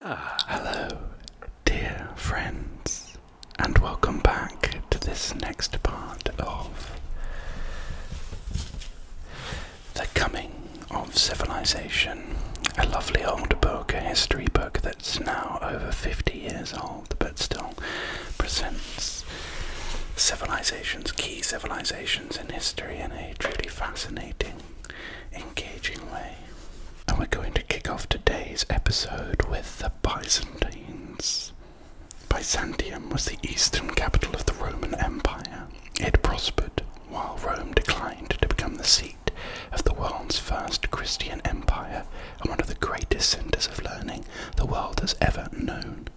Ah, hello, dear friends, and welcome back to this next part of The Coming of Civilization, a lovely old book, a history book that's now over 50 years old but still presents civilizations, key civilizations in history in a truly fascinating engaging way. And we're going to kick off today's episode with the Byzantines. Byzantium was the eastern capital of the Roman Empire. It prospered while Rome declined to become the seat of the world's first Christian empire and one of the greatest centers of learning the world has ever known.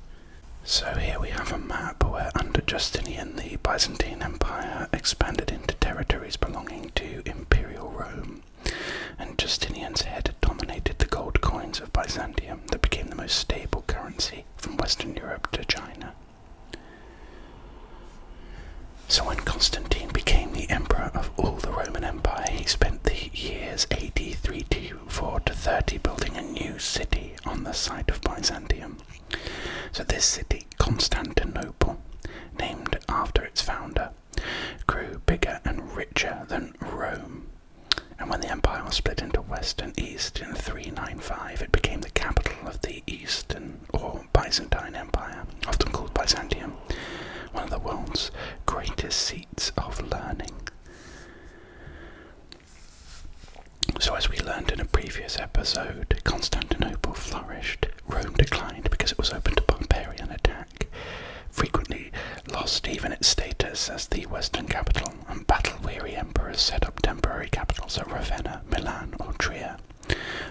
So here we have a map map where, under Justinian, the Byzantine Empire expanded into territories belonging to Imperial Rome, and Justinian's head dominated the gold coins of Byzantium that became the most stable currency from Western Europe to China. So, when Constantine became the emperor of all the Roman Empire, he spent the years AD 324 to 30 building a new city on the site of Byzantium, so, this city, Constantinople, named after its founder, grew bigger and richer than Rome. And when the empire was split into west and east in 395, it became the capital of the Eastern or Byzantine Empire, often called Byzantium, one of the world's greatest seats of learning. So, as we learned in a previous episode, Constantinople flourished, Rome declined because it was open to barbarian attack, frequently lost even its status as the Western capital, and battle weary emperors set up temporary capitals at Ravenna, Milan, or Trier,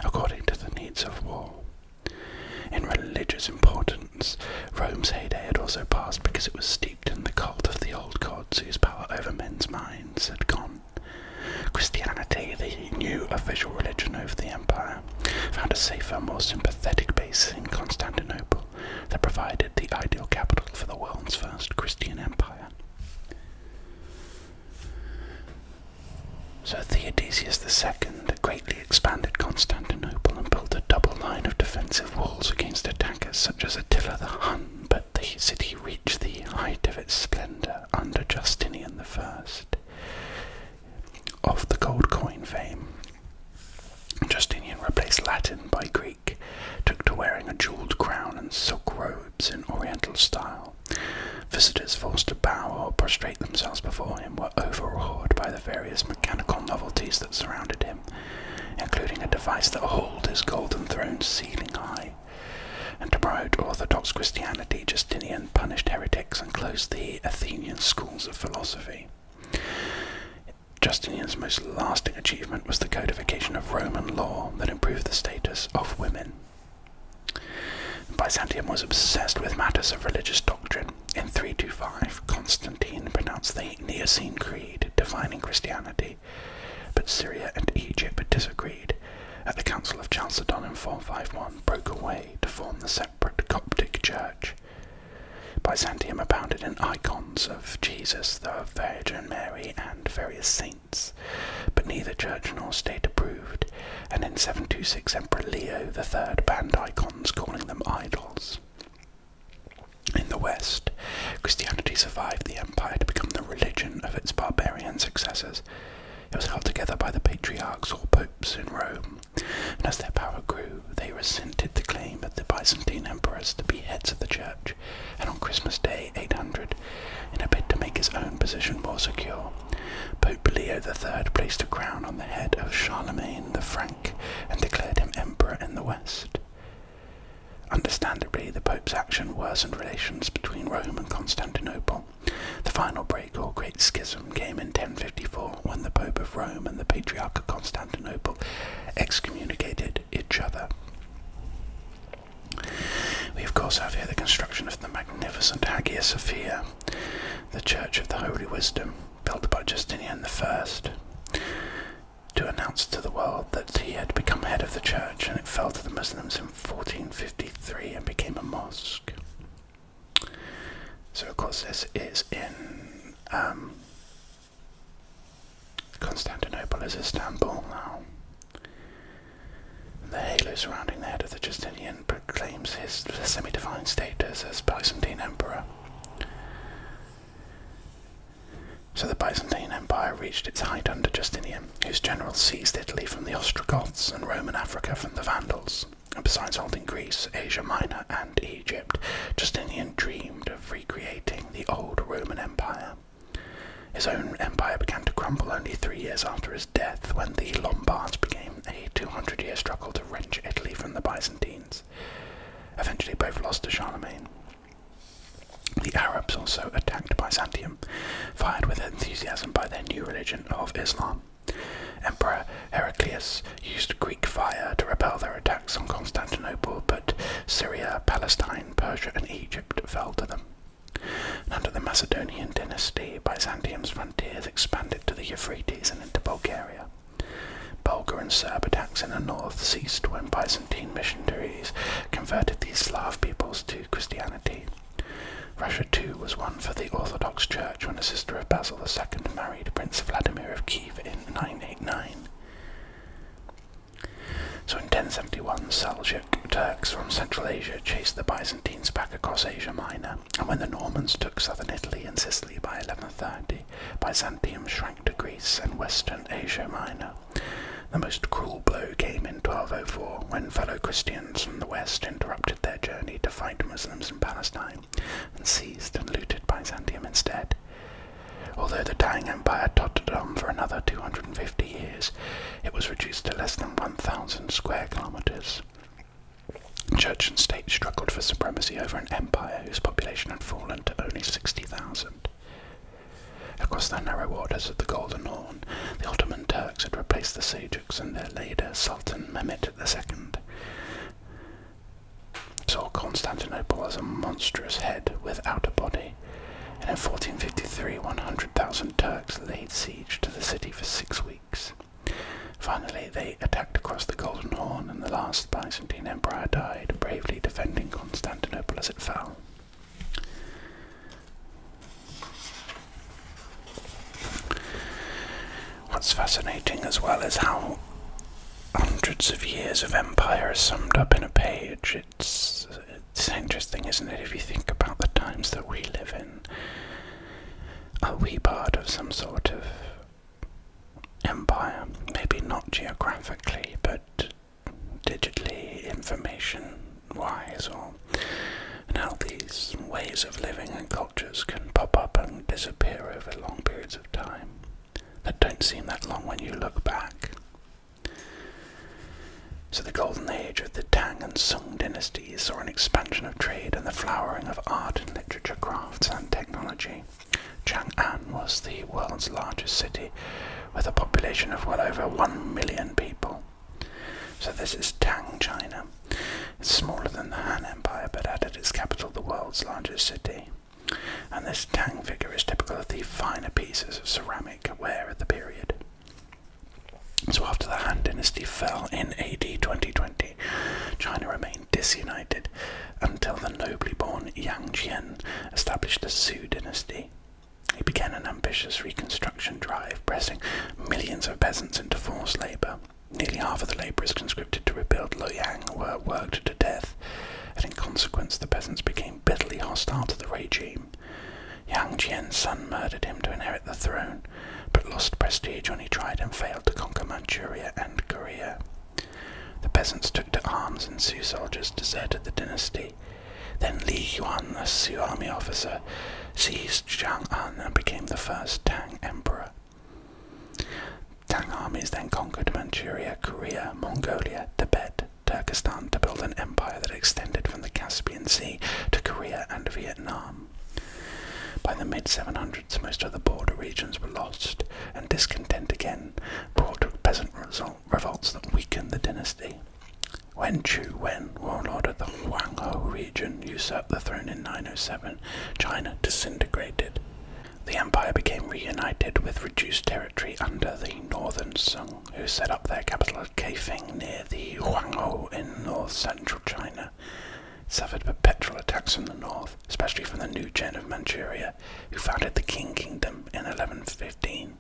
according to the needs of war. In religious importance, Rome's heyday had also passed because it was steeped in the cult of the old gods whose power over men's minds had gone Christianity, the new official religion of the empire, found a safer, more sympathetic base in Constantinople that provided the ideal capital for the world's first Christian empire. So Theodosius the Second greatly expanded Constantinople and built a double line of defensive walls against attackers such as Attila the Hun, but the city reached the height of its splendor under Justinian I of the gold coin fame. Justinian replaced Latin by Greek, took to wearing a jeweled crown and silk robes in Oriental style. Visitors forced to bow or prostrate themselves before him were overawed by the various mechanical novelties that surrounded him, including a device that hauled his golden throne ceiling high and to promote Orthodox Christianity, Justinian punished heretics and closed the Athenian schools of philosophy. Justinian's most lasting achievement was the codification of Roman law that improved the status of women. Byzantium was obsessed with matters of religious doctrine. In 325, Constantine pronounced the Nicene Creed, defining Christianity, but Syria and Egypt disagreed at the Council of Chalcedon in 451 broke away to form the separate Coptic Church. Byzantium abounded in icons of Jesus, the Virgin Mary, and various saints, but neither church nor state approved, and in 726 Emperor Leo III banned icons, calling them idols. In the West, Christianity survived the empire to become the religion of its barbarian successors, it was held together by the patriarchs or popes in Rome, and as their power grew, they resented the claim of the Byzantine emperors to be heads of the church, and on Christmas Day 800, in a bid to make his own position more secure, Pope Leo III placed a crown on the head of Charlemagne the Frank and declared him emperor in the West. Understandably, the Pope's action worsened relations between Rome and Constantinople, the final break or great schism came in 1054 when the Pope of Rome and the Patriarch of Constantinople excommunicated each other. We, of course, have here the construction of the magnificent Hagia Sophia, the Church of the Holy Wisdom, built by Justinian I, to announce to the world that he had become head of the Church and it fell to the Muslims 1453 and became a mosque. So, of course, this is in um, Constantinople, is Istanbul now. The halo surrounding the head of the Justinian proclaims his semi divine status as Byzantine Emperor. So the Byzantine Empire reached its height under Justinian whose generals seized Italy from the Ostrogoths and Roman Africa from the Vandals. And besides holding Greece, Asia Minor, and Egypt, Justinian dreamed of recreating the old Roman Empire. His own empire began to crumble only three years after his death, when the Lombards began a 200 year struggle to wrench Italy from the Byzantines. Eventually, both lost to Charlemagne. The Arabs also attacked Byzantium, fired with enthusiasm by their new religion of Islam. Emperor Heraclius used Greek fire to repel their attacks on Constantinople, but Syria, Palestine, Persia, and Egypt fell to them. under the Macedonian dynasty, Byzantium's frontiers expanded to the Euphrates and into Bulgaria. Bulgar and Serb attacks in the north ceased when Byzantine missionaries converted these Slav peoples to Christianity. Russia too was won for the Orthodox Church when a sister of Basil II married Prince Vladimir of Kiev in 989. So in 1071, Seljuk Turks from Central Asia chased the Byzantines back across Asia Minor, and when the Normans took southern Italy and Sicily by 1130, Byzantium shrank to Greece and western Asia Minor. The most cruel blow came in 1204 when fellow Christians from the west interrupted their journey to fight Muslims in Palestine and seized and looted Byzantium instead. Although the dying empire tottered on for another 250 years, it was reduced to less than 1,000 square kilometres. Church and state struggled for supremacy over an empire whose population had fallen to only 60,000. Across the narrow waters of the Golden Horn, the Ottoman Turks had replaced the Seljuks and their leader, Sultan Mehmet II, saw Constantinople as a monstrous head without a body, and in 1453 100,000 Turks laid siege to the city for six weeks. Finally, they attacked across the Golden Horn, and the last Byzantine emperor died, bravely defending Constantinople as it fell. What's fascinating as well is how hundreds of years of empire is summed up in a page. It's, it's interesting, isn't it, if you think about the times that we live in? Are we part of some sort of empire? Maybe not geographically, but digitally, information wise or and these ways of living and cultures can pop up and disappear over long periods of time that don't seem that long when you look back. So, the golden age of the Tang and Sung dynasties saw an expansion of trade and the flowering of art and literature, crafts, and technology. Chang'an was the world's largest city with a population of well over 1 million people. So this is Tang China. It's smaller than the Han Empire, but at its capital the world's largest city. And this Tang figure is typical of the finer pieces of ceramic ware of the period. So after the Han Dynasty fell in AD 220, China remained disunited until the nobly born Yang Jian established the Su Dynasty. He began an ambitious reconstruction drive, pressing millions of peasants into forced labour. Nearly half of the labourers conscripted to rebuild Loyang were worked to death, and in consequence the peasants became bitterly hostile to the regime. Yang Jian's son murdered him to inherit the throne, but lost prestige when he tried and failed to conquer Manchuria and Korea. The peasants took to arms and Sioux soldiers deserted the dynasty. Then Li Yuan, a Sioux army officer, seized against Chang'an and became the first Tang emperor. Tang armies then conquered Manchuria, Korea, Mongolia, Tibet, Turkestan to build an empire that extended from the Caspian Sea to Korea and Vietnam. By the mid 700s, most of the border regions were lost, and discontent again brought peasant revolts that weakened the dynasty. When Chu Wen, warlord of the Huanghe region, usurped the throne in 907, China disintegrated. The empire became reunited with reduced territory under the northern Song, who set up their capital at Kaifeng near the Huanghe in north central China. suffered perpetual attacks from the north, especially from the new Jin of Manchuria, who founded the Qing Kingdom in 1115.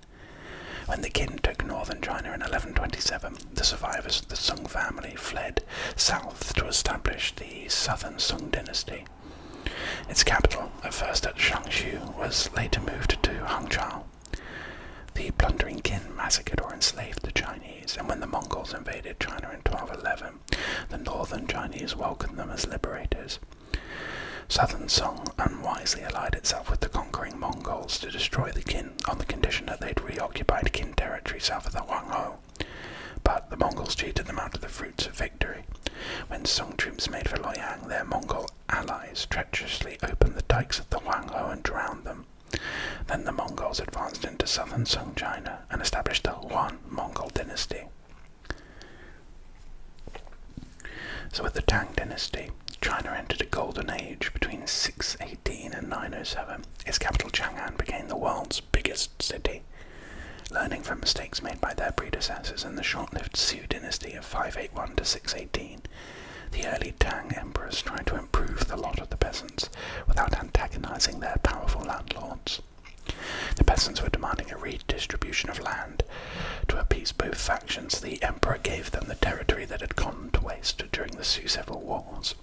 When the Qin took northern China in 1127, the survivors of the Sung family fled south to establish the southern Song dynasty. Its capital, at first at Shangshu, was later moved to Hangzhou. The plundering kin massacred or enslaved the Chinese, and when the Mongols invaded China in 1211, the northern Chinese welcomed them as liberators. Southern Song unwisely allied itself with the conquering Mongols to destroy the kin on the condition that they'd reoccupied Qin territory south of the Huangho. But the Mongols cheated them out of the fruits of victory. When Song troops made for Loyang, their Mongol allies treacherously opened the dikes of the Huangho and drowned them. Then the Mongols advanced into southern Song China and established the Huan Mongol dynasty. So with the Tang dynasty, China entered a golden age between 618 and 907 its capital Chang'an became the world's biggest city. Learning from mistakes made by their predecessors in the short-lived Sui dynasty of 581 to 618, the early Tang emperors tried to improve the lot of the peasants without antagonizing their powerful landlords. The peasants were demanding a redistribution of land. To appease both factions, the emperor gave them the territory that had gone to waste during the Sui Civil Wars.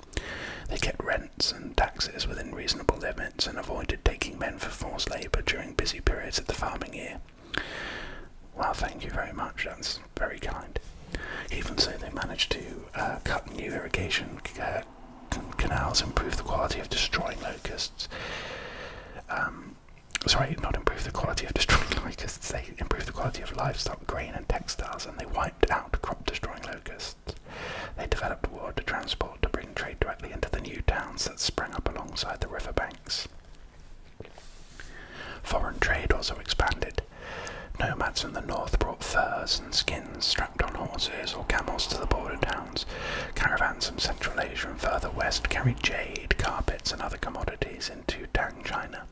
They kept rents and taxes within reasonable limits and avoided taking men for forced labour during busy periods of the farming year. Well, thank you very much, that's very kind. Even so, they managed to uh, cut new irrigation uh, canals, improve the quality of destroying locusts. Um, sorry, not improve the quality of destroying locusts, they improved the quality of livestock, grain, and textiles, and they out crop-destroying locusts. They developed water transport to bring trade directly into the new towns that sprang up alongside the riverbanks. Foreign trade also expanded. Nomads from the north brought furs and skins strapped on horses or camels to the border towns. Caravans from Central Asia and further west carried jade, carpets, and other commodities into Tang China.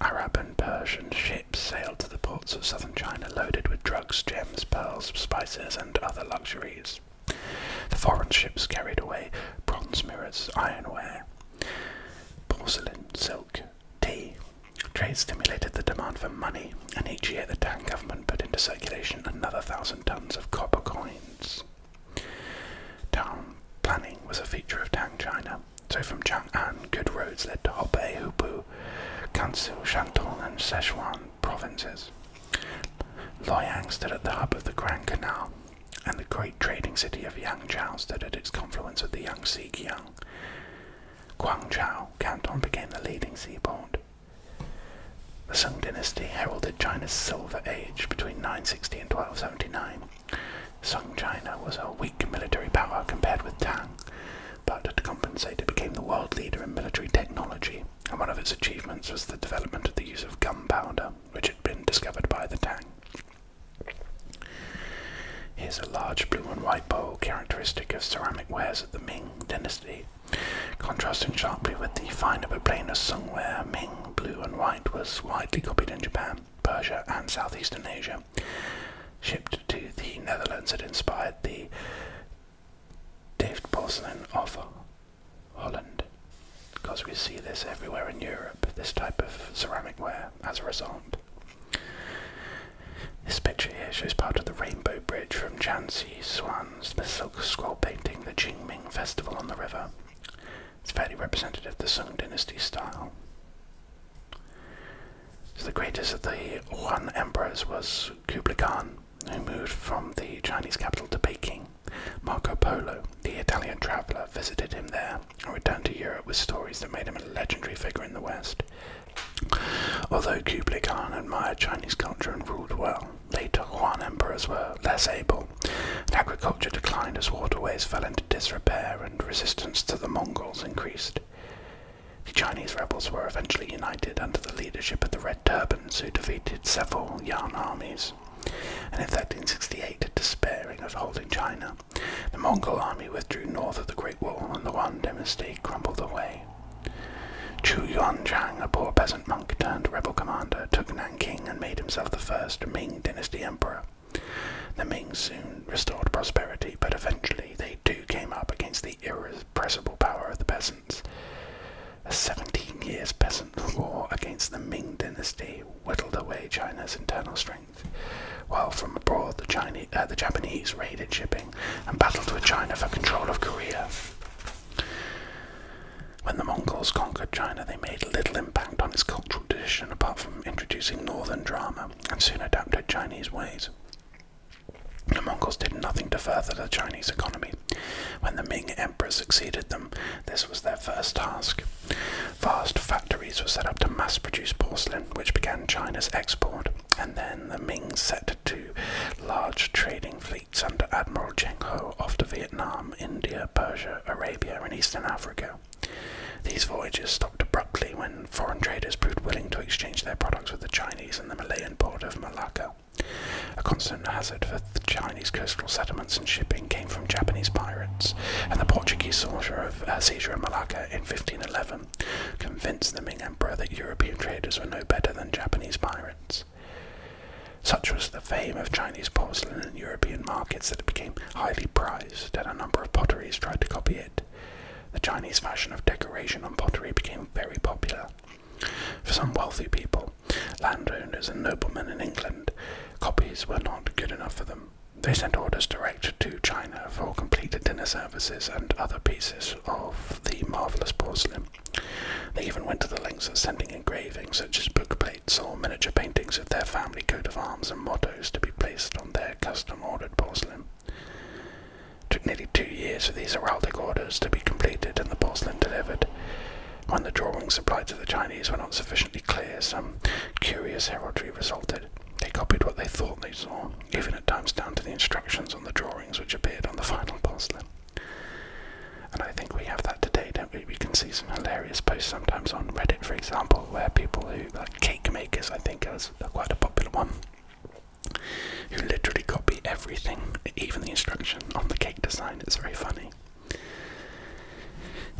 Arab and Persian ships sailed to the ports of southern China loaded with drugs, gems, pearls, spices, and other luxuries. The foreign ships carried away bronze mirrors, ironware, porcelain, silk, tea. Trade stimulated the demand for money, and each year the Tang government put into circulation another thousand tons of copper coins. Town planning was a feature of Tang China. So from Chang'an, good roads led to Hubei, Hubei, Gansu, Shantung, and Sichuan provinces. Loyang stood at the hub of the Grand Canal, and the great trading city of Yangzhou stood at its confluence with the Yangtze Kiang. Guangzhou Canton became the leading seaport. The Sung dynasty heralded China's Silver Age between 960 and 1279, Sung China was a weak military power compared with Tang, but to compensate, it became the world leader in military technology, and one of its achievements was the development of the use of gunpowder, which had been discovered by the Tang. Here's a large blue and white bowl characteristic of ceramic wares of the Ming dynasty. Contrasting sharply with the finer but plainer Sung ware, Ming blue and white was widely copied in Japan, Persia, and southeastern Asia shipped to the Netherlands, it inspired the Delft porcelain of Holland, because we see this everywhere in Europe, this type of ceramic ware as a result. This picture here shows part of the Rainbow Bridge from Chansey, Swans, the Silk Scroll painting, the Qingming Festival on the river. It's fairly representative of the Sung Dynasty style the greatest of the Yuan emperors was Kublai Khan, who moved from the Chinese capital to Peking. Marco Polo, the Italian traveller, visited him there and returned to Europe with stories that made him a legendary figure in the West. Although Kublai Khan admired Chinese culture and ruled well, later Yuan emperors were less able, and agriculture declined as waterways fell into disrepair and resistance to the Mongols increased. The Chinese rebels were eventually united under the leadership of the Red Turbans, who defeated several Yan armies. And in 1368, despairing of holding China, the Mongol army withdrew north of the Great Wall and the Wan dynasty crumbled away. Chu Yuanzhang, a poor peasant monk turned rebel commander, took Nanking and made himself the first Ming dynasty emperor. The Ming soon restored prosperity, but eventually they too came up against the irrepressible power of the peasants. A 17 years peasant war against the Ming dynasty whittled away China's internal strength, while from abroad the, Chinese, uh, the Japanese raided shipping and battled with China for control of Korea. When the Mongols conquered China, they made little impact on its cultural tradition apart from introducing northern drama and soon adapted Chinese ways. The Mongols did nothing to further the Chinese economy. When the Ming Emperor succeeded them, this was their first task. Vast factories were set up to mass produce porcelain, which began China's export, and then the Ming set to large trading fleets under Admiral Cheng Ho off to Vietnam, India, Persia, Arabia, and Eastern Africa. These voyages stopped abruptly when foreign traders proved willing to exchange their products with the Chinese in the Malayan port of Malacca. A constant hazard for the Chinese coastal settlements and shipping came from Japanese pirates, and the Portuguese seizure of, uh, seizure of Malacca in 1511 convinced the Ming Emperor that European traders were no better than Japanese pirates. Such was the fame of Chinese porcelain in European markets that it became highly prized, and a number of potteries tried to copy it. The Chinese fashion of decoration on pottery became very popular. For some wealthy people, landowners and noblemen in England, copies were not good enough for them. They sent orders direct to China for completed dinner services and other pieces of the marvellous porcelain. They even went to the lengths of sending engravings such as book plates or miniature paintings of their family coat of arms and mottos to be placed on their custom ordered porcelain. It took nearly two years for these heraldic orders to be completed and the porcelain delivered. When the drawings supplied to the Chinese were not sufficiently clear, some curious heraldry resulted. They copied what they thought they saw, even at times down to the instructions on the drawings which appeared on the final porcelain. And I think we have that today, don't we? We can see some hilarious posts sometimes on Reddit, for example, where people who, like cake makers, I think, is quite a popular one, who literally copy everything, even the instruction on the cake design. It's very funny.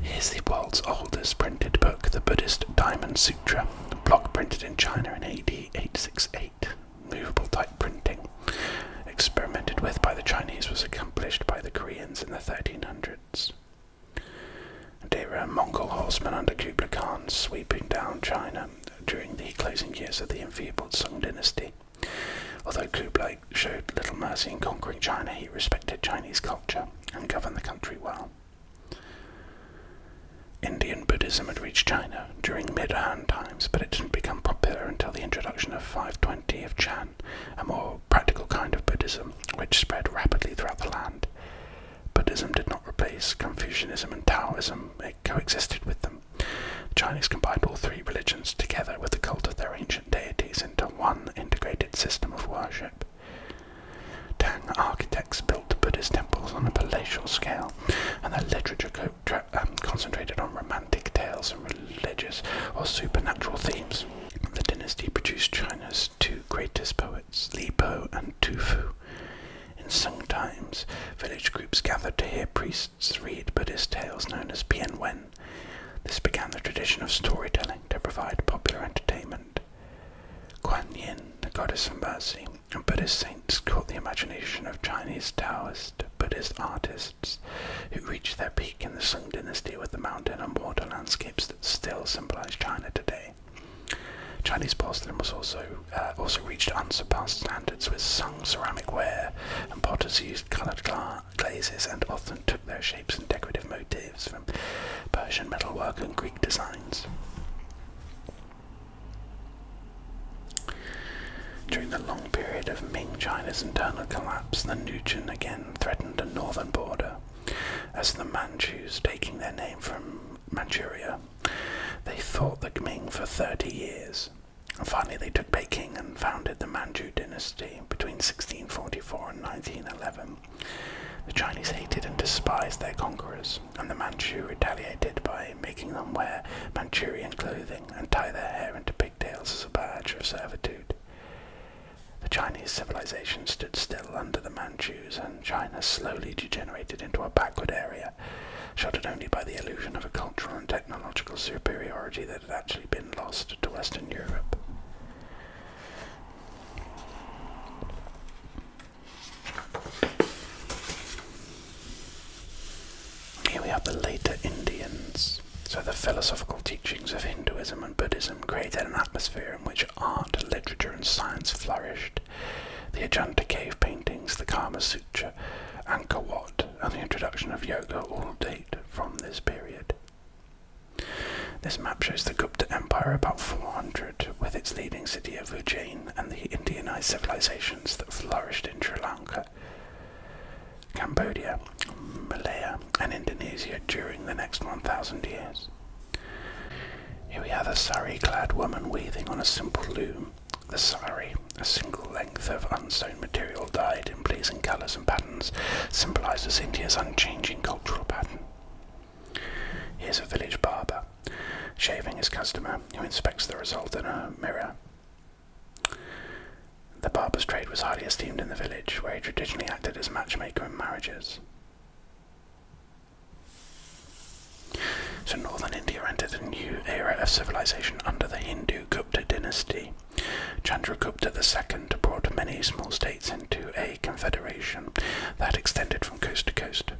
Here's the world's oldest printed book, the Buddhist Diamond Sutra, block printed in China in AD 868. Movable type printing, experimented with by the Chinese, was accomplished by the Koreans in the 1300s and here are Mongol horsemen under Kublai Khan sweeping down China during the closing years of the enfeebled Song dynasty. Although Kublai showed little mercy in conquering China, he respected Chinese culture and governed the country well. Indian Buddhism had reached China during mid Han times, but it didn't become popular until the introduction of 520 of Chan, a more practical kind of Buddhism which spread rapidly throughout the land. Buddhism did not replace Confucianism and Taoism, it coexisted with them. The Chinese combined all three religions together with the cult of their ancient deities into one integrated system of worship. Tang architects built Buddhist temples on a palatial scale, and their literature um, concentrated on romantic tales and religious or supernatural themes. The dynasty produced China's two greatest poets, Li Po and Tu Fu. In and times, village groups gathered to hear priests read Buddhist tales known as pienwen. This began the tradition of storytelling to provide popular entertainment. Kuan Yin, the goddess of mercy, and Buddhist saints caught the imagination of Chinese Taoist Buddhist artists who reached their peak in the Song dynasty with the mountain and water landscapes that still symbolize China today. Chinese porcelain was also uh, also reached unsurpassed standards with sung ceramic ware, and potters used coloured glazes and often took their shapes and decorative motifs from Persian metalwork and Greek designs. During the long period of Ming China's internal collapse, the Nujin again threatened a northern border, as the Manchus, taking their name from Manchuria, they fought the Qing for 30 years. And finally, they took Beijing and founded the Manchu dynasty between 1644 and 1911. The Chinese hated and despised their conquerors, and the Manchu retaliated by making them wear Manchurian clothing and tie their hair into pigtails as a badge of servitude. The Chinese civilization stood still under the Manchus, and China slowly degenerated into a backward area Australia, shuttered only by the illusion of a cultural and technological superiority that had actually been lost to Western Europe. Here we have the later Indians. So the philosophical teachings of Hinduism and Buddhism created an atmosphere in which art, literature, and science flourished, the Ajanta cave paintings, the Kama Sutra, Angkor Wat, and the introduction of yoga all date from this period. This map shows the Gupta Empire about 400, with its leading city of Ujjain and the Indianized civilizations that flourished in Sri Lanka, Cambodia, Malaya, and Indonesia during the next 1,000 years. Here we have a sari-clad woman weaving on a simple loom. The sari, a single length of unsewn material dyed in pleasing colours and patterns, symbolises India's unchanging cultural pattern. Here's a village barber, shaving his customer, who inspects the result in a mirror. The barber's trade was highly esteemed in the village, where he traditionally acted as matchmaker in marriages. So northern India entered a new era of civilization under the Hindu Gupta dynasty. Chandragupta II brought many small states into a confederation that extended from coast to coast.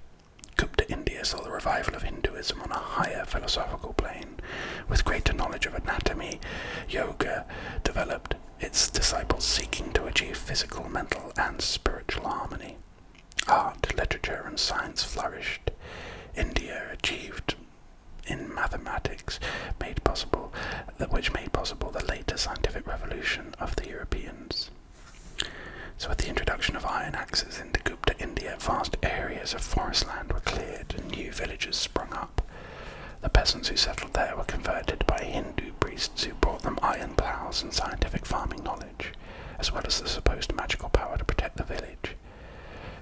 Gupta India saw the revival of Hinduism on a higher philosophical plane. With greater knowledge of anatomy, yoga developed, its disciples seeking to achieve physical, mental, and spiritual harmony. Art, literature, and science flourished. India achieved in mathematics made possible which made possible the later scientific revolution of the Europeans. So with the introduction of iron axes into Gupta India, vast areas of forest land were cleared and new villages sprung up. The peasants who settled there were converted by Hindu priests who brought them iron ploughs and scientific farming knowledge as well as the supposed magical power to protect the village.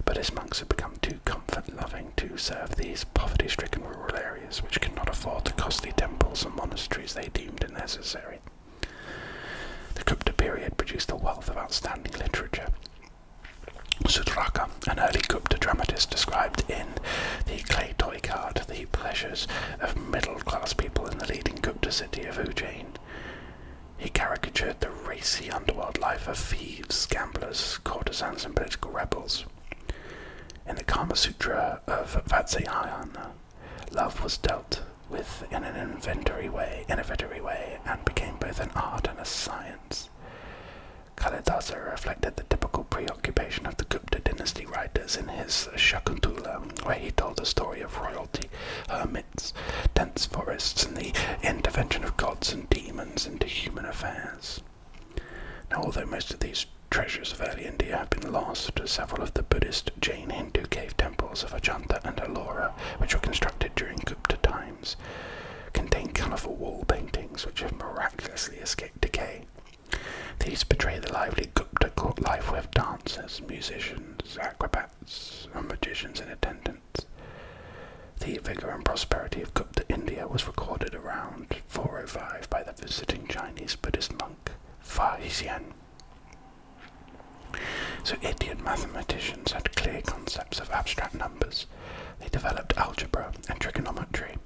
But his monks had become too comfort loving to serve these poverty stricken rural areas, which could not afford the costly temples and monasteries they deemed necessary. The Gupta period produced a wealth of outstanding literature. Sudraka, an early Gupta dramatist, described in the clay toy card the pleasures of middle class people in the leading Gupta city of Ujjain. He caricatured the racy underworld life of thieves, gamblers, courtesans, and political rebels. In the Kama Sutra of Vatsyayana, love was dealt with in an inventory way, innovatory way and became both an art and a science. Kalidasa reflected the typical preoccupation of the Gupta dynasty writers in his Shakuntala, where he told the story of royalty, dense forests, and the intervention of gods and demons into human affairs. Now, although most of these treasures of early India have been lost, several of the Buddhist, Jain, Hindu cave temples of Ajanta and Ellora, which were constructed during Gupta times, contain colourful wall paintings which have miraculously escaped decay. These portray the lively Gupta court life with dancers, musicians, acrobats, and magicians in attendance. The vigour and prosperity of Gupta India was recorded around 405 by the visiting Chinese Buddhist monk Fa Xian. So Indian mathematicians had clear concepts of abstract numbers. They developed algebra and trigonometry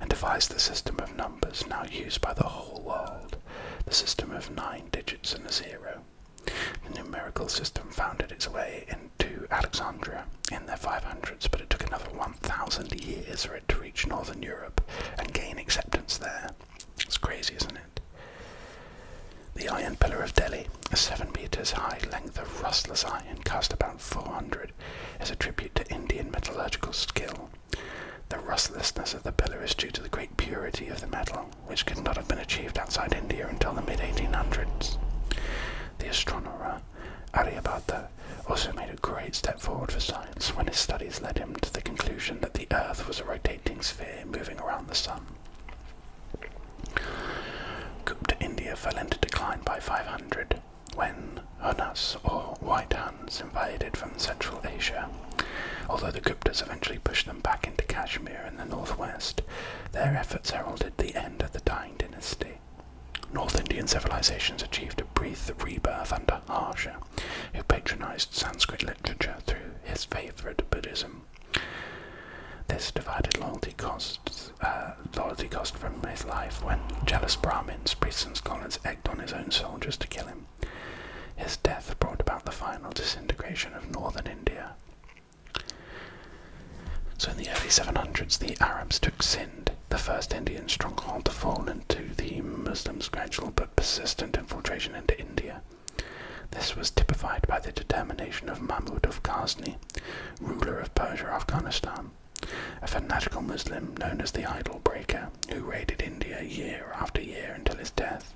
and devised the system of numbers now used by the whole world, the system of nine digits and a zero. The numerical system founded its way into Alexandria in the 500s, but it took another 1,000 years for it to reach northern Europe and gain acceptance there. It's crazy, isn't it? The Iron Pillar of Delhi, a 7 metres high length of rustless iron cost about 400, as a tribute to Indian metallurgical skill. The rustlessness of the pillar is due to the great purity of the metal which could not have been achieved outside India until the mid 1800s. The astronomer Aryabhata also made a great step forward for science when his studies led him to the conclusion that the Earth was a rotating sphere moving around the Sun. Gupta India fell into decline by 500 when Hunas or White Huns invaded from Central Asia. Although the Guptas eventually pushed them back into Kashmir and the northwest, their efforts heralded the end of the dying dynasty. North Indian civilizations achieved a brief rebirth under Harsha, who patronized Sanskrit literature through his favorite Buddhism. This divided loyalty costs, uh, loyalty cost from his life when jealous Brahmins, priests, and scholars egged on his own soldiers to kill him. His death brought about the final disintegration of northern India, so in the early 700s, the Arabs took Sindh, the first Indian stronghold to fall into the Muslims' gradual but persistent infiltration into India. This was typified by the determination of Mahmud of Ghazni, ruler of Persia, Afghanistan, a fanatical Muslim known as the Idol Breaker, who raided India year after year until his death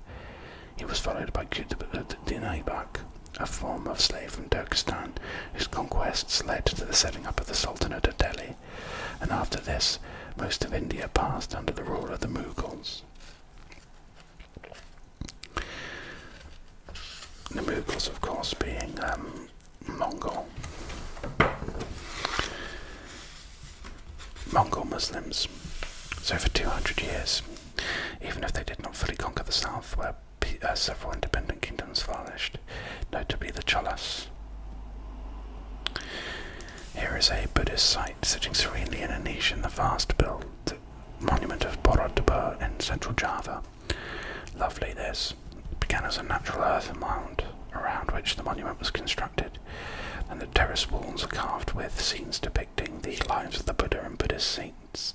he was followed by Qutb uh, Dinaibak, a former slave from Turkestan, whose conquests led to the setting up of the Sultanate of Delhi, and after this, most of India passed under the rule of the Mughals. The Mughals, of course, being um, Mongol. Mongol Muslims. So for 200 years, even if they did not fully conquer the south, where uh, several independent kingdoms flourished, notably the Cholas. Here is a Buddhist site sitting serenely in a niche in the vast built monument of Borobudur in central Java. Lovely this. began as a natural earth mound around which the monument was constructed, and the terrace walls are carved with scenes depicting the lives of the Buddha and Buddhist saints.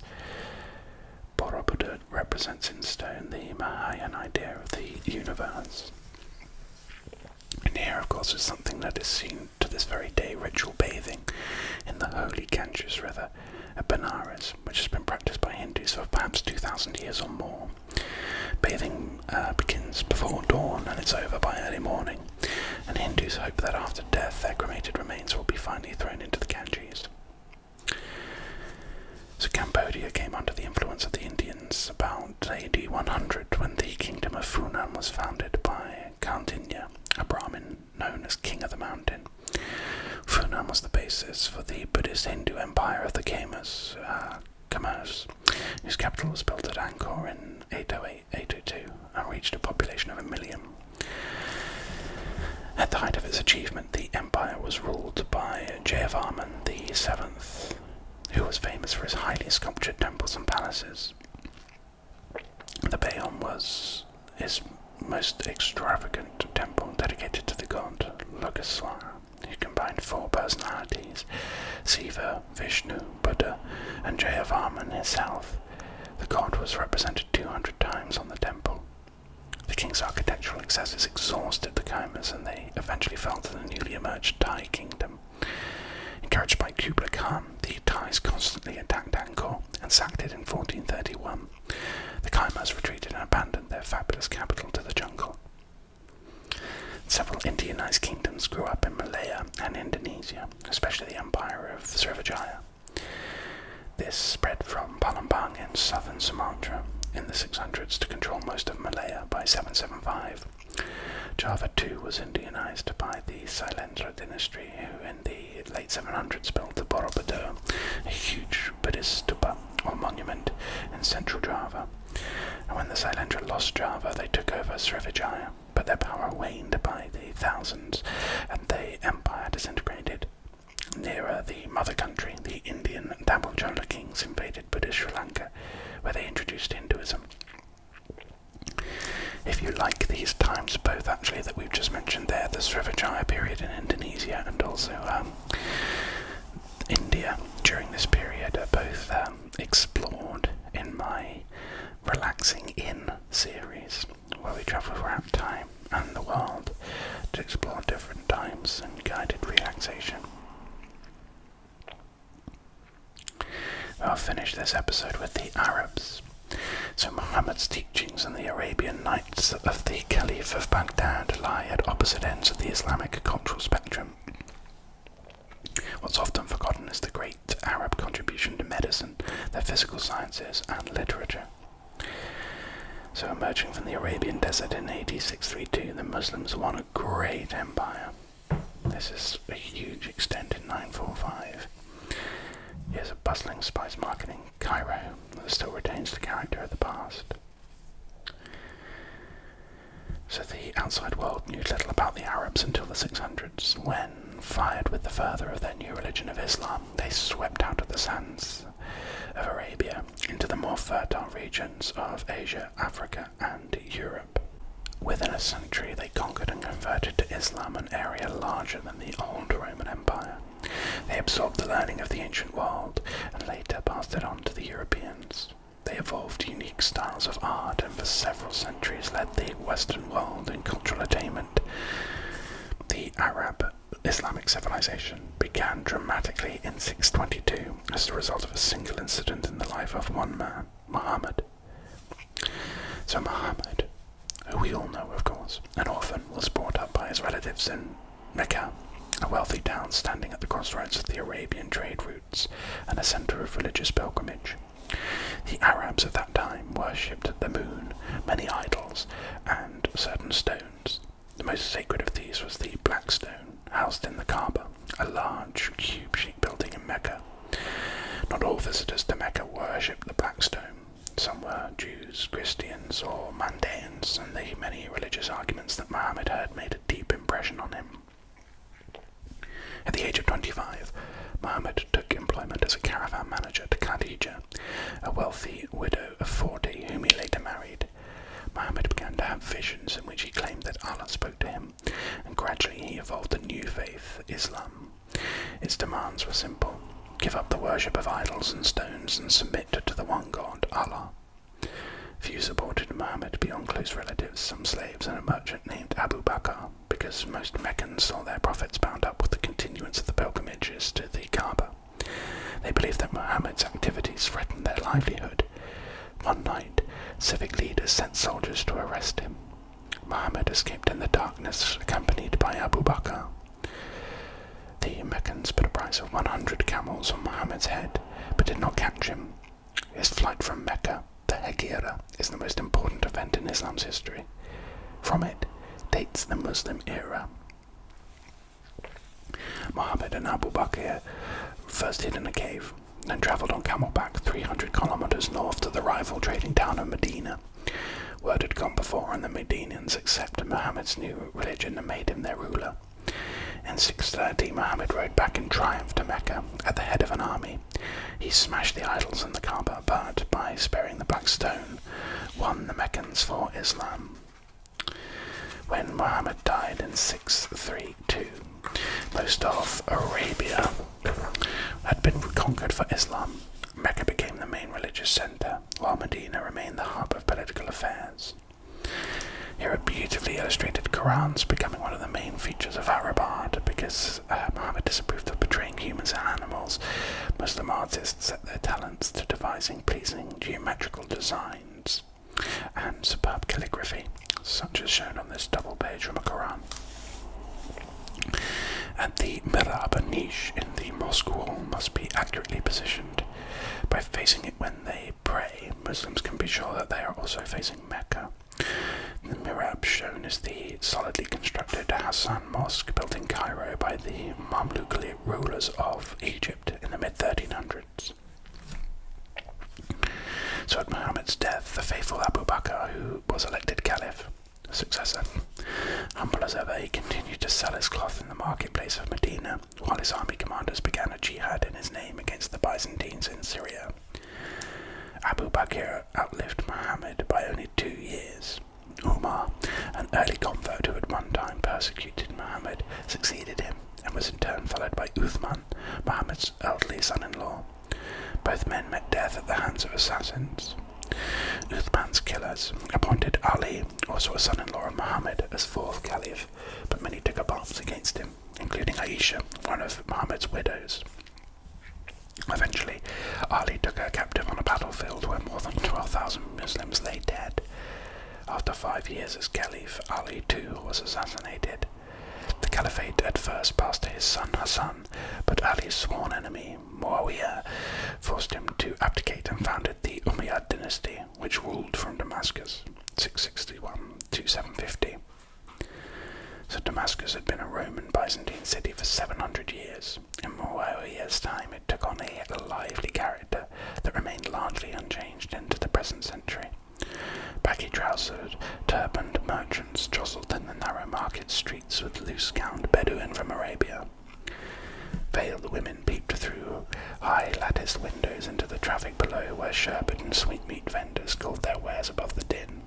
Borobudur represents in stone the Mahayan idea of the universe. And here, of course, is something that is seen to this very day ritual bathing in the holy Ganges River at Benares, which has been practiced by Hindus for perhaps 2,000 years or more. Bathing uh, begins before dawn and it's over by early morning, and Hindus hope that after death their cremated remains will be finally thrown into the Ganges. So Cambodia came under the influence of the Indians about AD 100 when the kingdom of Funan was founded by Kandinya, a Brahmin known as King of the Mountain. Funan was the basis for the Buddhist Hindu empire of the Khmers, uh, Khmers whose capital was built at Angkor in 808-802 and reached a population of a million. At the height of its achievement, the empire was ruled by Jayavarman VII, who was famous for his highly sculptured temples and palaces. The Bayon was his most extravagant temple dedicated to the god Logaswara, who combined four personalities Siva, Vishnu, Buddha, and Jayavarman himself the god was represented 200 times on the temple. The king's architectural excesses exhausted the Khimers and they eventually fell to the newly emerged Thai kingdom. Encouraged by Kublai Khan, the Thais constantly attacked Angkor and sacked it in 1431. The Khimers retreated and abandoned their fabulous capital to the jungle. Several Indianized kingdoms grew up in Malaya and Indonesia, especially the empire of Srivijaya. This spread from Palembang in southern Sumatra in the 600s to control most of Malaya by 775. Java too was Indianized by the Sailendra dynasty, who in the late 700s built the Borobudur, a huge Buddhist stupa or monument in central Java. And when the Sailendra lost Java, they took over Srivijaya but their power waned by the thousands, and the empire disintegrated. Nearer the mother country, the Indian Tamil Chola kings invaded Buddhist Sri Lanka, where they introduced Hinduism. If you like these times, both actually that we've just mentioned there, the Srivijaya period in Indonesia and also um, India during this period, are both um, explored in my Relaxing In series where we travel throughout time and the world to explore different times and guided relaxation. I'll finish this episode with the Arabs. So Muhammad's teachings and the Arabian Nights of the Caliph of Baghdad lie at opposite ends of the Islamic cultural spectrum. What's often forgotten is the great Arab contribution to medicine, the physical sciences, and literature. So, emerging from the Arabian desert in AD the Muslims won a great empire. This is a huge extent in 945. Here's a bustling spice market in Cairo that still retains the character of the past. So the outside world knew little about the Arabs until the 600s, when fired with the fervor of their new religion of Islam, they swept out of the sands of Arabia into the more fertile regions of Asia, Africa, and Europe. Within a century, they conquered and converted to Islam an area larger than the old Roman Empire. They absorbed the learning of the ancient world and later passed it on to the Europeans. They evolved unique styles of art and for several centuries led the Western world in cultural attainment. The Arab Islamic civilization began dramatically in 622 as the result of a single incident in the life of one man, Muhammad. So, Muhammad, who we all know of course, an orphan, was brought up by his relatives in Mecca, a wealthy town standing at the crossroads of the Arabian trade routes and a center of religious pilgrimage. The Arabs of that time worshipped the moon, many idols, and certain stones. The most sacred of these was the Black Stone, housed in the Kaaba, a large cube-shaped building in Mecca. Not all visitors to Mecca worshipped the Black Stone. Some were Jews, Christians, or Mandaeans, and the many religious arguments that Muhammad heard made a deep impression on him. At the age of 25, Muhammad took employment as a caravan manager to Kandahar a wealthy widow of 40 whom he later married. Muhammad began to have visions in which he claimed that Allah spoke to him, and gradually he evolved a new faith, Islam. Its demands were simple give up the worship of idols and stones and submit to the one God, Allah. Few supported Muhammad beyond close relatives, some slaves, and a merchant named Abu Bakr because most Meccans saw their profits bound up with the continuance of the pilgrimages to the Kaaba. They believed that Muhammad's activities threatened their livelihood. One night, civic leaders sent soldiers to arrest him. Muhammad escaped in the darkness, accompanied by Abu Bakr. The Meccans put a price of 100 camels on Muhammad's head, but did not catch him. His flight from Mecca, the Hegira, is the most important event in Islam's history. From it dates the Muslim era. Muhammad and Abu Bakr first hid in a cave, then travelled on camelback 300 kilometres north to the rival trading town of Medina. Word had gone before, and the Medinians accepted Muhammad's new religion and made him their ruler. In 630, Muhammad rode back in triumph to Mecca at the head of an army. He smashed the idols and the Kaaba, but by sparing the black stone, Islam won the Meccans for Islam. When Muhammad died in 632, most of Arabia had been conquered for Islam. Mecca became the main religious center, while Medina remained the hub of political affairs. Here are beautifully illustrated Qurans becoming one of the main features of Arab art because uh, Muhammad disapproved of portraying humans and animals. Muslim artists set their talents to devising pleasing geometrical designs and superb calligraphy, such as shown on this double page from a Quran. And the Miraba niche in the mosque wall must be accurately positioned. By facing it when they pray, Muslims can be sure that they are also facing Mecca. The mirab shown is the solidly constructed Hassan Mosque built in Cairo by the Mamluk rulers of Egypt in the mid 1300s. So, at Muhammad's death, the faithful Abu Bakr, who was elected caliph, successor, humble as ever, he continued to sell his cloth in the marketplace of Medina, while his army commanders began a jihad in his name against the Byzantines in Syria. Abu Bakr outlived Muhammad by only two years. Umar, an early convert who at one time persecuted Muhammad, succeeded him and was in turn followed by Uthman, Muhammad's elderly son-in-law. Both men met death at the hands of assassins. Uthman's killers appointed Ali, also a son-in-law of Muhammad, as fourth caliph, but many took up arms against him, including Aisha, one of Muhammad's widows. Eventually, Ali took her captive on a battlefield where more than 12,000 Muslims lay dead. After five years as caliph, Ali too was assassinated. The caliphate at first passed to his son Hassan, but Ali's sworn enemy, Muawiyah, forced him to abdicate and founded the Umayyad dynasty, which ruled from Damascus 661 to 750. So Damascus had been a Roman Byzantine city for 700 years years. In Moreau years' time, it took on a lively character that remained largely unchanged into the present century. Baggy-trousered, turbaned merchants jostled in the narrow market streets with loose-gowned Bedouin from Arabia. Veiled women peeped through high latticed windows into the traffic below, where sherbet and sweetmeat vendors called their wares above the din.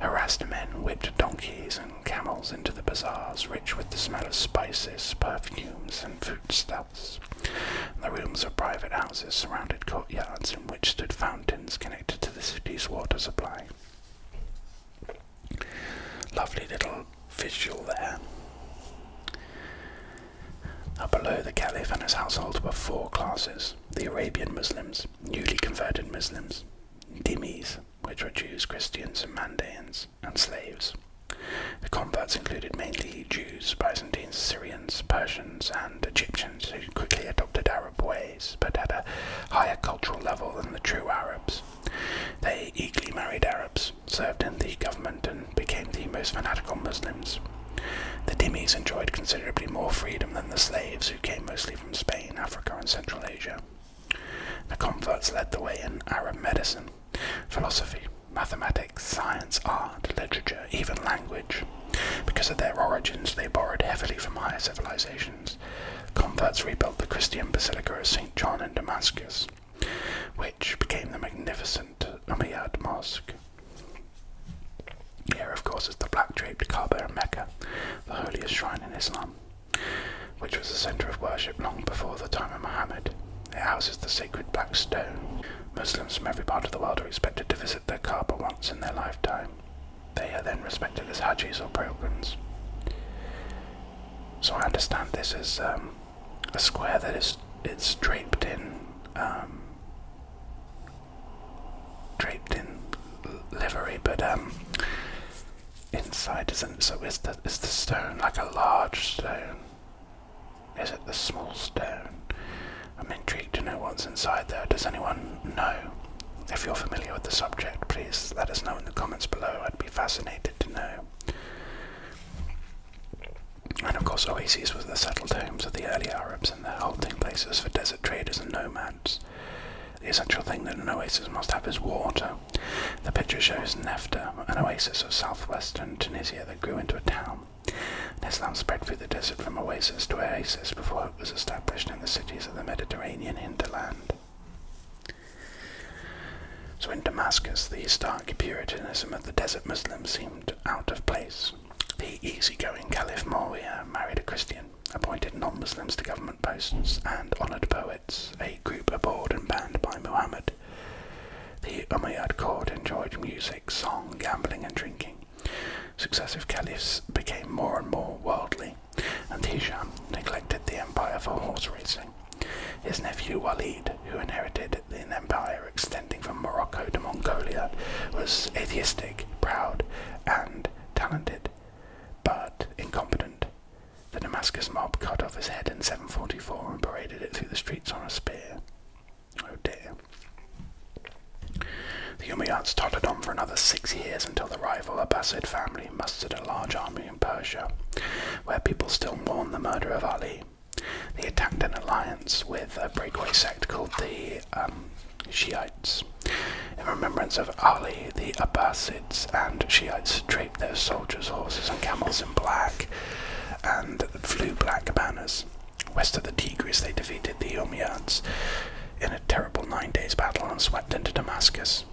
Harassed men whipped donkeys camels into the bazaars, rich with the smell of spices, perfumes, and foodstuffs. The rooms of private houses surrounded courtyards in which stood fountains connected to the city's water supply. Lovely little visual there. Up below, the caliph and his household were four classes the Arabian Muslims, newly converted Muslims, Dhimmis, which were Jews, Christians, and Mandaeans, and slaves. The converts included mainly Jews, Byzantines, Syrians, Persians, and Egyptians who quickly adopted Arab ways but at a higher cultural level than the true Arabs. They eagerly married Arabs, served in the government, and became the most fanatical Muslims. The dhimmis enjoyed considerably more freedom than the slaves who came mostly from Spain, Africa, and Central Asia. The converts led the way in Arab medicine, philosophy, mathematics, science, art, literature, even language. Because of their origins, they borrowed heavily from higher civilizations. Converts rebuilt the Christian Basilica of St. John in Damascus, which became the magnificent Umayyad Mosque. Here, of course, is the black draped Kaaba in Mecca, the holiest shrine in Islam which was the centre of worship long before the time of Muhammad. It houses the sacred black stone. Muslims from every part of the world are expected to visit the Kaaba once in their lifetime. They are then respected as Hajis or pilgrims. So I understand this as um, a square that is it's draped in um, draped in livery, but um, inside isn't so is the is the stone like a large stone? Is it the small stone? I'm intrigued to know what's inside there. Does anyone know? If you're familiar with the subject, please let us know in the comments below. I'd be fascinated to know. And of course, oases were the settled homes of the early Arabs and their halting places for desert traders and nomads. The essential thing that an oasis must have is water. The picture shows Nefta, an oasis of southwestern Tunisia that grew into a town. Islam spread through the desert from oasis to oasis before it was established in the cities of the Mediterranean hinterland. So in Damascus, the stark Puritanism of the desert Muslims seemed out of place. The easygoing Caliph Moria married a Christian, appointed non-Muslims to government posts, and honoured poets a group abhorred and banned by Muhammad. The Umayyad court enjoyed music, song, gambling, and drinking. Successive caliphs became more and more worldly, and Hisham neglected the empire for horse racing. His nephew Walid, who inherited an empire extending from Morocco to Mongolia, was atheistic, proud, and talented, but incompetent. The Damascus mob cut off his head in 744 and paraded it through the streets on a spear. Oh dear. The Umayyads tottered on for another six years until the rival Abbasid family mustered a large army in Persia, where people still mourn the murder of Ali. They attacked an alliance with a breakaway sect called the um, Shiites. In remembrance of Ali, the Abbasid and Shiites draped their soldiers, horses, and camels in black and flew black banners. West of the Tigris, they defeated the Umayyads in a terrible nine days battle and swept into Damascus.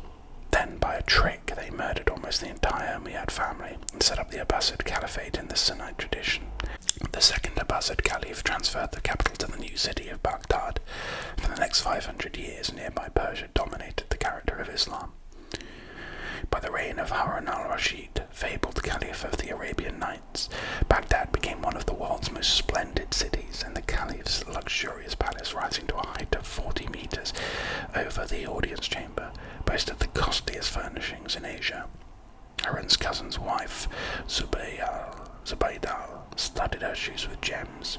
Then, by a trick, they murdered almost the entire Umayyad family and set up the Abbasid Caliphate in the Sunnite tradition. The second Abbasid Caliph transferred the capital to the new city of Baghdad. For the next 500 years, nearby Persia dominated the character of Islam. By the reign of Harun al-Rashid, fabled caliph of the Arabian Nights, Baghdad became one of the world's most splendid cities, and the caliph's luxurious palace, rising to a height of 40 meters over the audience chamber, boasted the costliest furnishings in Asia. Harun's cousin's wife, Zubaydah, studded her shoes with gems,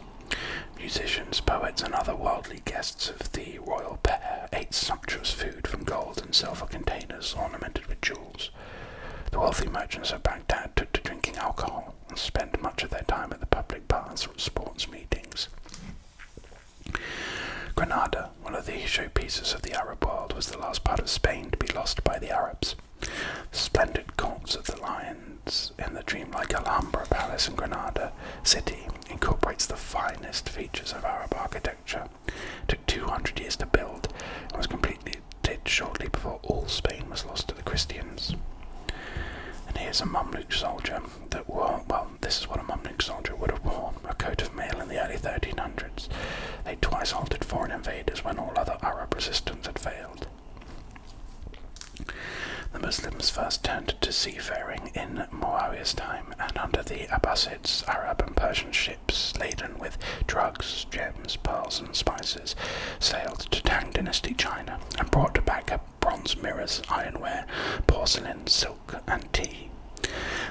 Musicians, poets, and other worldly guests of the royal pair ate sumptuous food from gold and silver containers ornamented with jewels. The wealthy merchants of Baghdad took to drinking alcohol and spent much of their time at the public baths or sports meetings. Granada, one of the showpieces of the Arab world, was the last part of Spain to be lost by the Arabs. The splendid courts of the lions in the dreamlike Alhambra Palace in Granada City incorporates the finest features of Arab architecture. took 200 years to build and was completed shortly before all Spain was lost to the Christians. And here's a Mamluk soldier that wore, well, this is what a Mamluk soldier would have worn a coat of mail in the early 1300s. They twice halted foreign invaders when all other Arab resistance had failed. The Muslims first turned to sea seafaring in Muawiyah's time, and under the Abbasids, Arab and Persian ships laden with drugs, gems, pearls, and spices sailed to Tang Dynasty China and brought back bronze mirrors, ironware, porcelain, silk, and tea.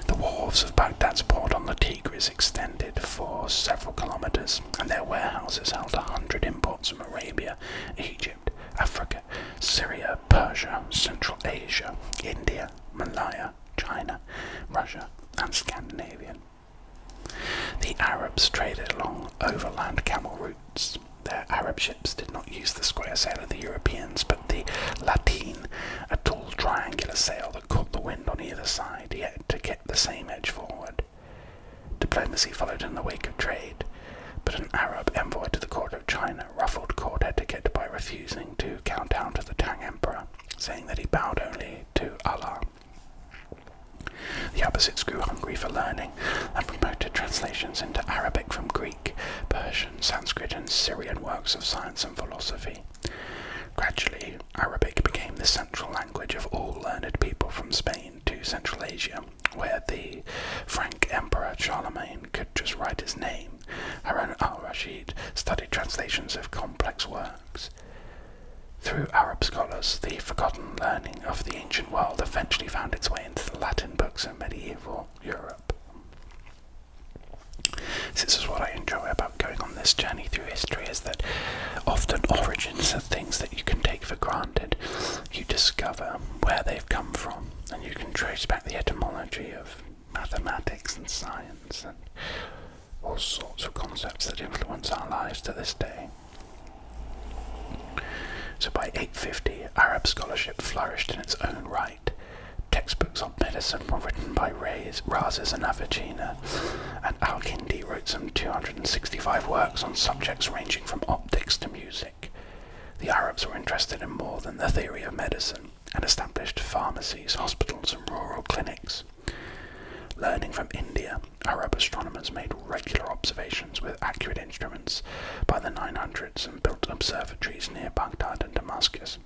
The wharves of Baghdad's port on the Tigris extended for several kilometres, and their warehouses held a hundred imports from Arabia, Egypt, Africa, Syria, Persia, Central Asia, India, Malaya, China, Russia, and Scandinavia. The Arabs traded along overland camel routes. Their Arab ships did not use the square sail of the Europeans, but the latine, a tall triangular sail that caught the wind on either side, yet to get the same edge forward. Diplomacy followed in the wake of trade, but an Arab envoy to the court China ruffled court etiquette by refusing to count down to the Tang Emperor, saying that he bowed only to Allah. The Abbasids grew hungry for learning and promoted translations into Arabic from Greek, Persian, Sanskrit, and Syrian works of science and philosophy. Gradually, Arabic became the central language of all learned people from Spain to Central Asia, where the Frank Emperor Charlemagne could just write his name, Harun al Rashid studied translations of complex works. Through Arab scholars, the forgotten learning of the ancient world eventually found its way into the Latin books of medieval Europe. This is what I enjoy about going on this journey through history is that often origins are things that you can take for granted. You discover where they've come from and you can trace back the etymology of mathematics and science and all sorts of concepts that influence our lives to this day. So by 850, Arab scholarship flourished in its own right. Textbooks on medicine were written by Rays, Razes and Avicenna, and Al-Kindi wrote some 265 works on subjects ranging from optics to music. The Arabs were interested in more than the theory of medicine and established pharmacies, hospitals, and rural clinics. Learning from India, Arab astronomers made regular observations with accurate instruments by the 900s and built observatories near Baghdad and Damascus.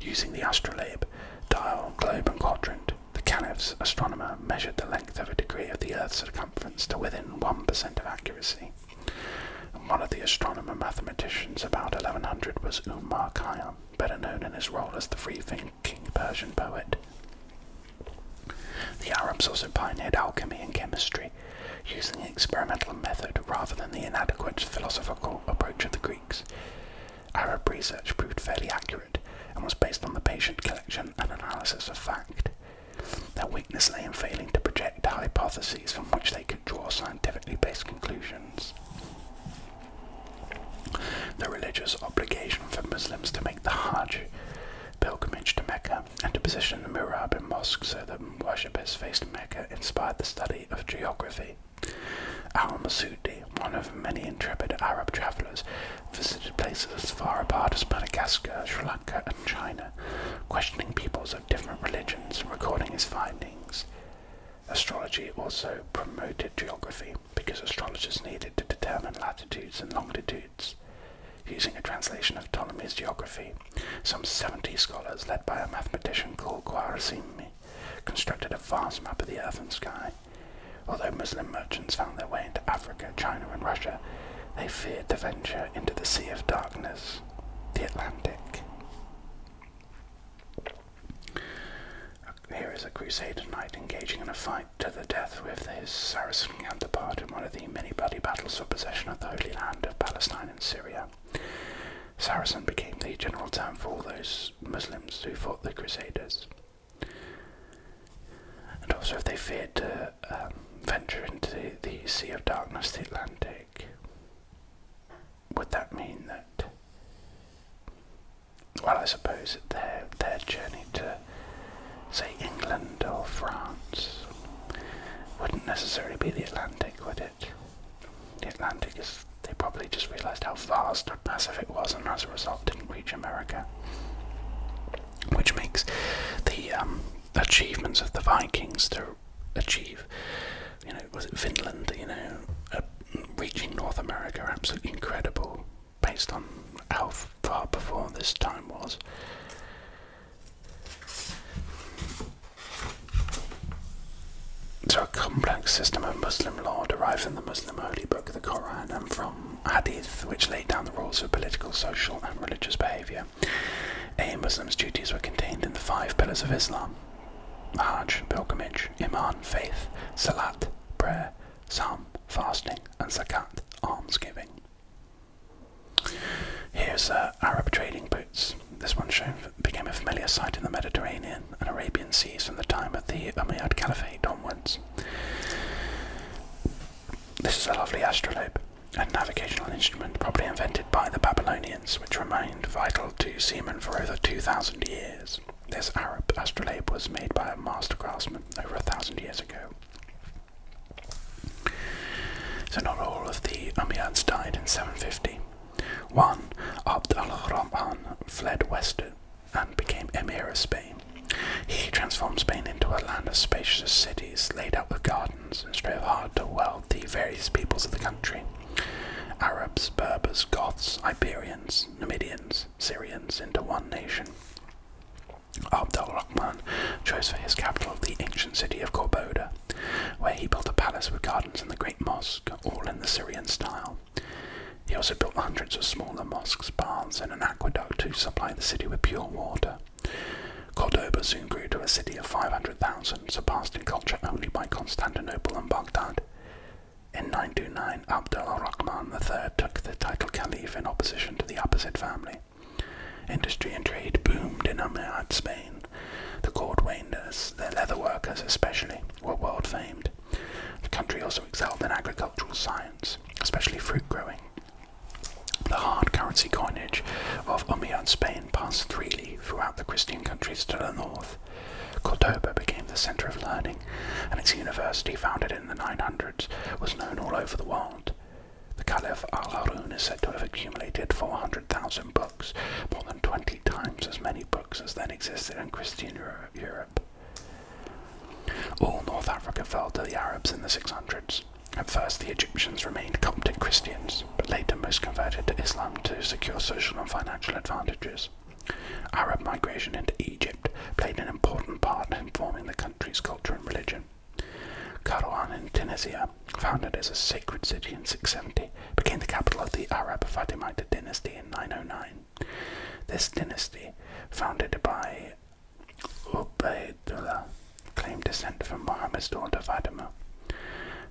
Using the astrolabe, dial, globe, and quadrant, the Caliph's astronomer measured the length of a degree of the Earth's circumference to within 1% of accuracy one of the astronomer mathematicians about 1100 was Umar Khayyam, better known in his role as the free-thinking Persian poet. The Arabs also pioneered alchemy and chemistry, using the experimental method rather than the inadequate philosophical approach of the Greeks. Arab research proved fairly accurate and was based on the patient collection and analysis of fact. Their in failing to project hypotheses from which they could draw scientifically based conclusions. The religious obligation for Muslims to make the Hajj pilgrimage to Mecca and to position the in mosques so that worshippers faced Mecca inspired the study of geography. Al-Masudi, one of many intrepid Arab travellers, visited places as far apart as Madagascar, Sri Lanka, and China, questioning peoples of different religions and recording his findings. Astrology also promoted geography because astrologers needed to determine latitudes and longitudes. Using a translation of Ptolemy's geography, some 70 scholars, led by a mathematician called Khwarizmi, constructed a vast map of the earth and sky. Although Muslim merchants found their way into Africa, China, and Russia, they feared to venture into the Sea of Darkness, the Atlantic. Here is a Crusader knight engaging in a fight to the death with his Saracen counterpart in one of the many bloody battles for possession of the Holy Land of Palestine and Syria. Saracen became the general term for all those Muslims who fought the Crusaders. And also, if they feared to um, venture into the Sea of Darkness, the Atlantic would that mean that? Well, I suppose that their their journey to, say, England or France, wouldn't necessarily be the Atlantic, would it? The Atlantic is. They probably just realised how vast or massive it was, and as a result, didn't reach America. Which makes the um, achievements of the Vikings achieve. You know, was it Finland? You know, uh, reaching North America, absolutely incredible, based on how far before this time was. So, a complex system of Muslim law derived from the Muslim holy book, the Quran, and from Hadith, which laid down the rules for political, social, and religious behavior. A Muslim's duties were contained in the five pillars of Islam Hajj, pilgrimage, Iman, faith, Salat, prayer, Psalm, fasting, and Zakat, almsgiving. Here's uh, Arab trading boots. This one became a familiar sight in the Mediterranean and Arabian seas from the time of the Umayyad Caliphate onwards. This is a lovely astrolabe a navigational instrument probably invented by the Babylonians, which remained vital to seamen for over 2,000 years. This Arab astrolabe was made by a master craftsman over a thousand years ago. So not all of the Umayyads died in 750. One, Abd al-Rahman, fled westward and became Emir of Spain. He transformed Spain into a land of spacious cities laid out with gardens and strove hard to weld the various peoples of the country. Arabs, Berbers, Goths, Iberians, Numidians, Syrians into one nation. Abd al Rahman chose for his capital the ancient city of Corboda, where he built a palace with gardens and the great mosque, all in the Syrian style. He also built hundreds of smaller mosques, baths, and an aqueduct to supply the city with pure water. Cordoba soon grew to a city of 500,000, surpassed in culture only by Constantinople and Baghdad. In 929, Abd al-Rahman III took the title Caliph in opposition to the Abbasid family. Industry and trade boomed in Umayyad Spain. The cordwainers, their leatherworkers especially, were world famed. The country also excelled in agricultural science, especially fruit growing. The hard currency coinage of Umayyad Spain passed freely throughout the Christian countries to the north. Cordoba became the center of learning, and its university, founded in the 900s, was known all over the world. The Caliph al-Harun is said to have accumulated 400,000 books, more than 20 times as many books as then existed in Christian Europe. All North Africa fell to the Arabs in the 600s. At first, the Egyptians remained Coptic Christians, but later most converted to Islam to secure social and financial advantages. Arab migration into Egypt played an important part in forming the country's culture and religion. Karouan in Tunisia, founded as a sacred city in 670, became the capital of the Arab Fatimid dynasty in 909. This dynasty, founded by Ubaidullah, claimed descent from Muhammad's daughter Fatima.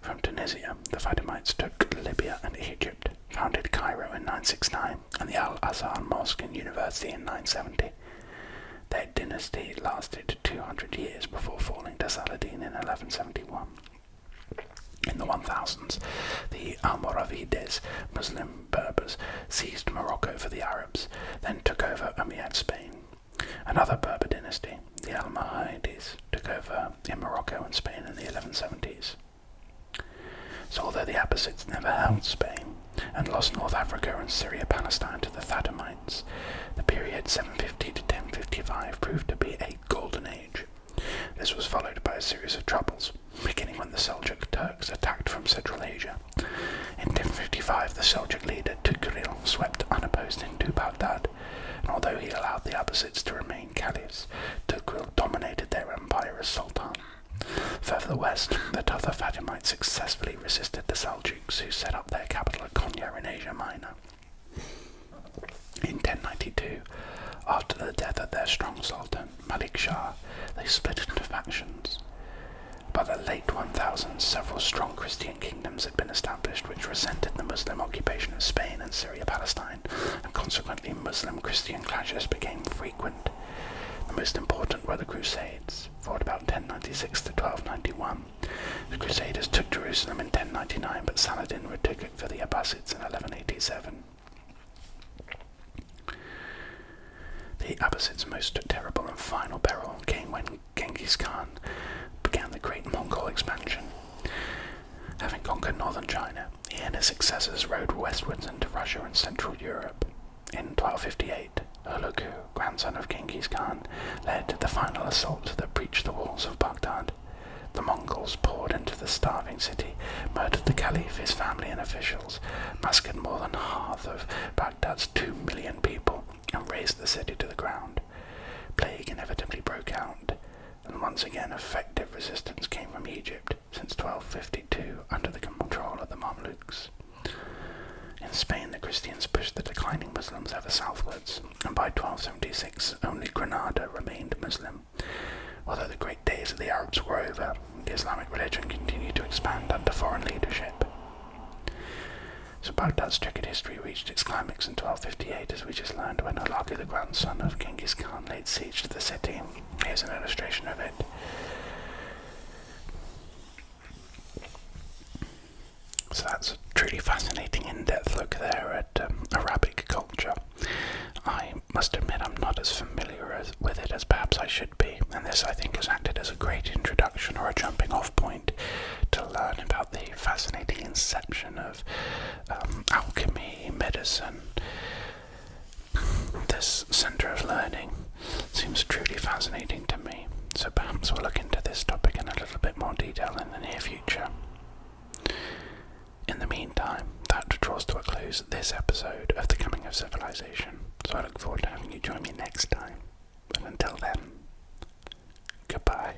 From Tunisia, the Fatimids took Libya and Egypt, founded Cairo in 969 and the Al-Azhar Mosque and University in 970. Their dynasty lasted 200 years before falling to Saladin in 1171. In the 1000s, the Almoravides, Muslim Berbers, seized Morocco for the Arabs, then took over Umayyad Spain. Another Berber dynasty, the Almohades, took over in Morocco and Spain in the 1170s. So, although the Abbasids never held Spain and lost North Africa and Syria Palestine to the Fatimids, the period 750 to 1055 proved to be a golden age. This was followed by a series of troubles, beginning when the Seljuk Turks attacked from Central Asia. In 1055, the Seljuk leader Tughril swept unopposed into Baghdad and although he allowed the Abbasids to remain caliphs, Tughil dominated their empire as sultan. Further west, the Tatar Fatimids successfully resisted the Seljuks, who set up their capital at Konya in Asia Minor. In 1092, after the death of their strong sultan, Malik Shah, they split into factions. By the late 1000s, several strong Christian kingdoms had been established which resented the Muslim occupation of Spain and Syria Palestine, and consequently Muslim Christian clashes became frequent. The most important were the Crusades, fought about 1096 to 1291. The Crusaders took Jerusalem in 1099, but Saladin retook it for the Abbasids in 1187. The Abbasids' most terrible and final peril came when Genghis Khan began the great Mongol expansion. Having conquered northern China, he and his successors rode westwards into Russia and Central Europe. In 1258, Ulughu, grandson of Genghis Khan, led the final assault that breached the walls of Baghdad. The Mongols poured into the starving city, murdered the caliph, his family, and officials, massacred more than half of Baghdad's two million people, and razed the city to the ground. Plague inevitably broke out and once again effective resistance came from Egypt since 1252 under the control of the Mamluks. In Spain, the Christians pushed the declining Muslims ever southwards, and by 1276 only Granada remained Muslim. Although the great days of the Arabs were over, the Islamic religion continued to expand under foreign leadership. So Baghdad's checkered history reached its climax in 1258 as we just learned when Olagi the grandson of Genghis Khan laid siege to the city. Here's an illustration of it. So that's a truly fascinating in-depth look there at um, Arabic culture. I must admit I'm not as familiar with it as perhaps I should be, and this I think has acted as a great introduction or a jumping off point to learn about the fascinating inception of um, alchemy, medicine. This centre of learning seems truly fascinating to me, so perhaps we'll look into this topic in a little bit more detail in the near future. In the meantime, that draws to a close this episode of The Coming of Civilization, so I look forward to having you join me next time. And until then, goodbye.